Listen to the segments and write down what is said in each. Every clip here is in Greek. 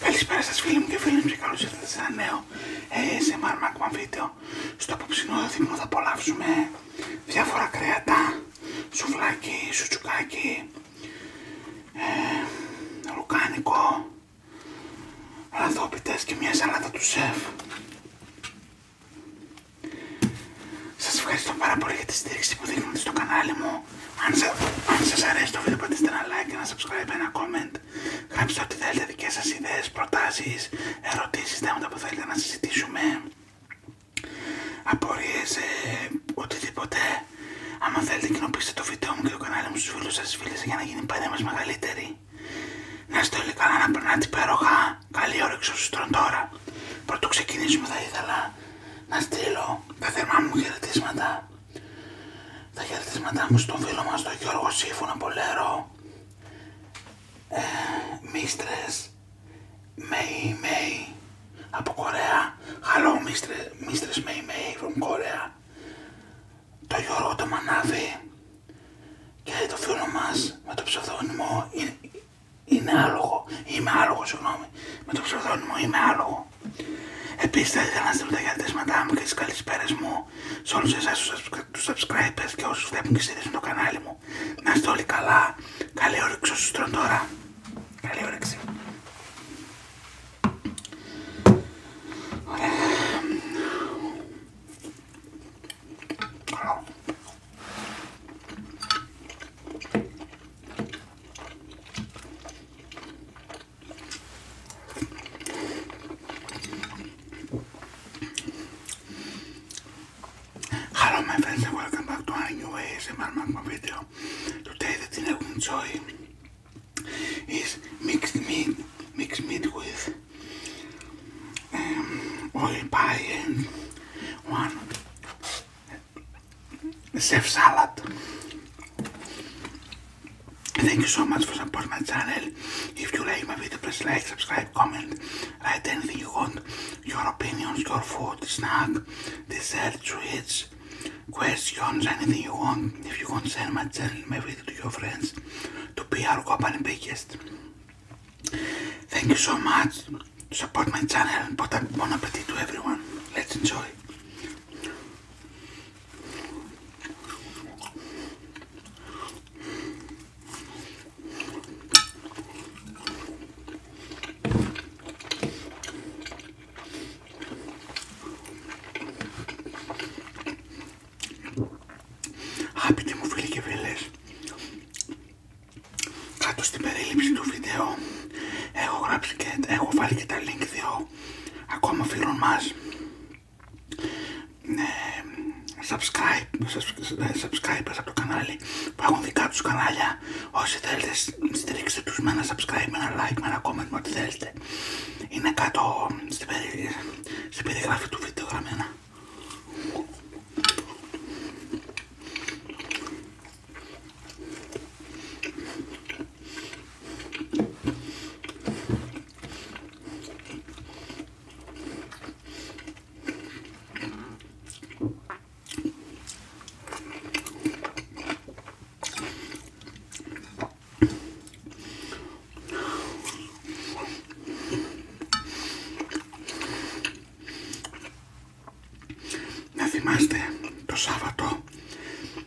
Καλησπέρα σας φίλοι μου και φίλοι μου και καλώς ήρθατε σε ένα νέο ε, ASMR Mac βίντεο. Στο απόψινό δείπνο θα απολαύσουμε διάφορα κρέατα, Σουφλάκι, σουτσουκάκι, ε, λουκάνικο, λαδόπιτες και μια σαλάτα του σεφ. Σας ευχαριστώ πάρα πολύ για τη στήριξη που δείχνετε στο κανάλι μου. Αν, σα, σας αρέσει το βίντεο πατήστε ένα like, ένα subscribe, ένα comment. Γράψτε ό,τι θέλετε, δικές σας ιδέες, προτάσεις, ερωτήσεις, θέματα που θέλετε να συζητήσουμε. Απορίες, ε, οτιδήποτε. Αν θέλετε κοινοποιήστε το βίντεο μου και το κανάλι μου στους φίλους σας, στις για να γίνει πάντα μας μεγαλύτερη. Να είστε όλοι καλά, να περνάτε υπέροχα. Καλή όρεξη όσου τρώνε τώρα. Πρωτού ξεκινήσουμε θα ήθελα να στείλω τα θερμά μου χαιρετίσματα τα χαιρετίσματά μου στον φίλο μας τον Γιώργο Σύμφωνα Πολέρο ε, Μίστρες Μέι Μέι από Κορέα χαλό Μίστρες Μέι Μέι from Κορέα το Γιώργο το Μανάβη και το φίλο μας με το ψευδόνιμο μου είναι άλογο, είμαι άλογο συγγνώμη με το ψευδόνιμο είμαι άλογο Επίσης θα ήθελα να στείλω τα χαιρετίσματά μου και τις καλησπέρε μου σε όλους εσάς τους subscribers και όσους βλέπουν και στηρίζουν το κανάλι μου. Να είστε όλοι καλά. Καλή όρεξη όσους τρώνε τώρα. Καλή όρεξη. Hello my friends and welcome back to a new ASMR Magma video. Today the thing I will enjoy is mixed meat, mixed meat with um, oil pie and one Chef Salad. Thank you so much for supporting my channel. If you like my video, please like, subscribe, comment, write anything you want, your opinions, your food, snack, dessert, sweets, questions, anything you want. If you want, send my channel, my video to your friends to be our company biggest. Thank you so much. Support my channel and put a bon appetit to everyone. Let's enjoy. Αγαπητοί μου φίλοι και φίλες, κάτω στην περίληψη του βίντεο έχω, γράψει και, έχω βάλει και τα link ακόμα φίλων μας ε, subscribe, subscribers από το κανάλι που έχουν δικά τους κανάλια όσοι θέλετε στηρίξτε τους με ένα subscribe, με ένα like, με ένα comment, με ό,τι θέλετε είναι κάτω στην, στην περιγράφη του βίντεο γραμμένα να θυμάστε το Σάββατο 10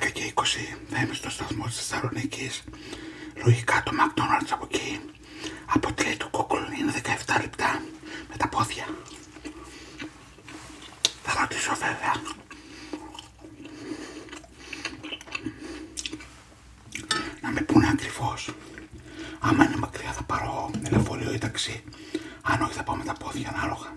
ε, και 20 θα είμαι στο σταθμό της Θεσσαλονίκη. Λογικά το McDonald's από εκεί. Από τη λέει του είναι 17 λεπτά με τα πόδια. Θα ρωτήσω βέβαια. Να με πούνε ακριβώς. Άμα είναι μακριά θα πάρω ελεφόριο ή ταξί. Αν όχι θα πάω με τα πόδια ανάλογα.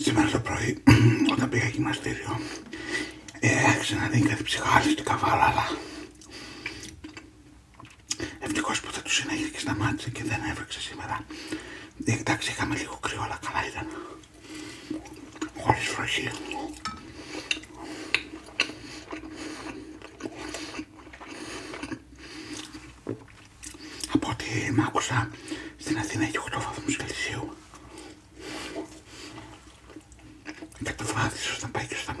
Σήμερα το πρωί όταν πήγα γυμναστήριο ε, άρχισε να δίνει κάτι ψυχάλιστη καβάλα αλλά ευτυχώς που θα τους συνέχισε και σταμάτησε και δεν έβρεξε σήμερα εντάξει, είχαμε λίγο κρύο, αλλά καλά ήταν. Χωρίς βροχή. Από ό,τι μ' άκουσα, στην Αθήνα έχει 8 βαθμούς Κελσίου. Και το βράδυ, ίσως να πάει και στα 0.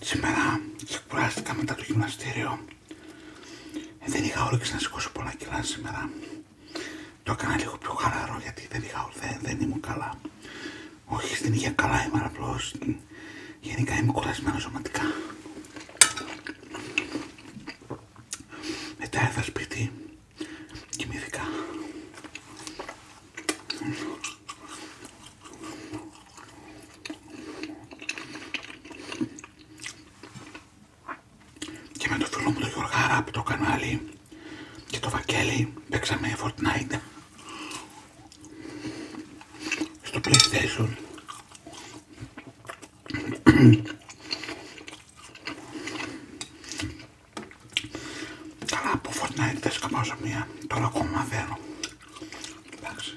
Σήμερα ξεκουράστηκα μετά το γυμναστήριο. Δεν είχα όρεξη να σηκώσω πολλά κιλά σήμερα. Το έκανα λίγο πιο χαλαρό γιατί δεν είχα ορθέ, δεν ήμουν καλά. Όχι στην υγεία καλά είμαι απλώ. Γενικά είμαι κουρασμένο σωματικά. Μετά έρθα σπίτι, κοιμήθηκα. Και με το φίλο μου τον Γιώργαρα από το κανάλι και το Βαγγέλη παίξαμε Fortnite στο PlayStation Καλά από Fortnite δεν σκαμπάζω μία, τώρα ακόμα δένω. Εντάξει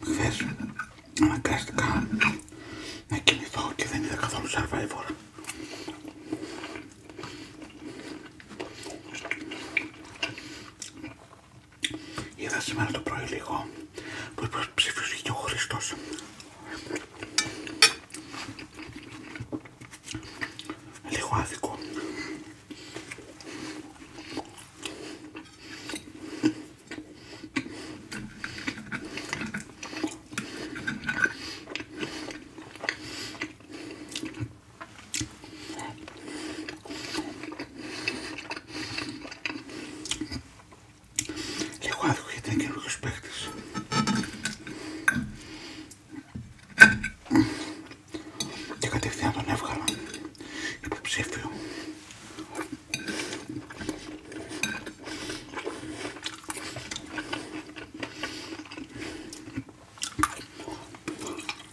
Χθες αναγκάστηκα να κοιμηθώ και δεν είδα καθόλου Survivor. Είδα σήμερα το πρωί λίγο που ψήφισε και ο Χριστός. Λίγο άδικο. Λίγο άδικο γιατί είναι καινούργιος παίχτης. Και κατευθείαν τον έβγαλα υποψήφιο.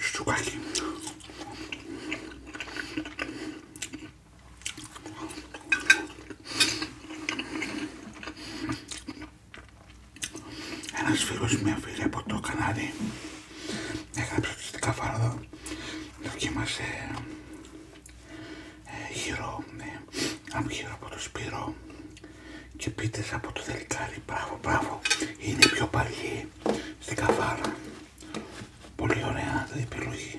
Szczukaki. Ένας φίλος, μια φίλη από το Κανάδι έγραψε στην καφάρδα, δοκίμασε ε, γύρο, ναι, γύρω από το Σπύρο και πίτες από το Δελικάρι, μπράβο, μπράβο, είναι πιο παλιή στην καφάρα, πολύ ωραία η επιλογή.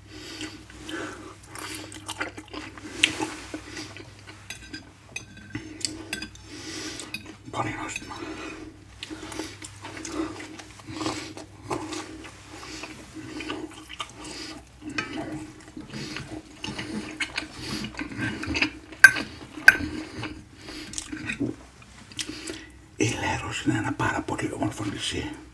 Πολύ είναι ένα πάρα πολύ όμορφο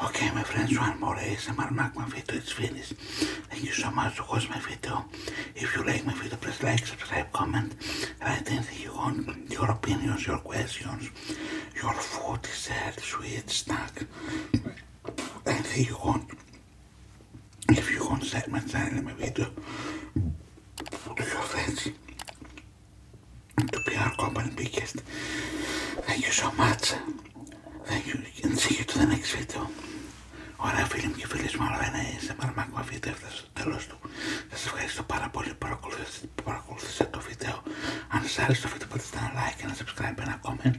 Okay, my friends, one more ASMR Magma video is finished. Thank you so much for watching my video. If you like my video, please like, subscribe, comment, write anything you want, your opinions, your questions, Your food is there, sweet snack. And if you want, if you want segments in my video, to your friends, to be our company biggest. Thank you so much. Thank you and see you to the next video. Ωραία φίλοι μου και φίλες μου, άλλο ένα ASMR Macma βίντεο έφτασε στο τέλος του. Σας ευχαριστώ πάρα πολύ που παρακολουθήσατε που παρακολουθήσατε το βίντεο. Αν σας άρεσε το βίντεο, πατήστε ένα like, ένα subscribe, ένα comment.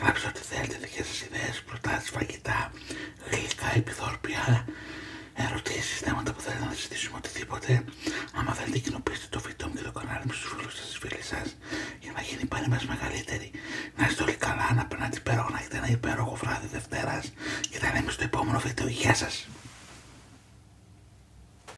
Γράψτε ό,τι θέλετε, δικές σας ιδέες, προτάσεις, φαγητά, γλυκά, επιδόρπια, ερωτήσεις, θέματα που θέλετε να συζητήσουμε, οτιδήποτε. Άμα θέλετε, κοινοποιήστε το βίντεο μου και το κανάλι μου στους φίλους σας, στις φίλες σας, για να γίνει πάλι μας μεγαλύτερη. Να είστε όλοι καλά, να περνάτε υπέροχο να έχετε ένα υπέροχο βράδυ Δευτέρα και θα λέμε στο επόμενο βίντεο. Γεια σας!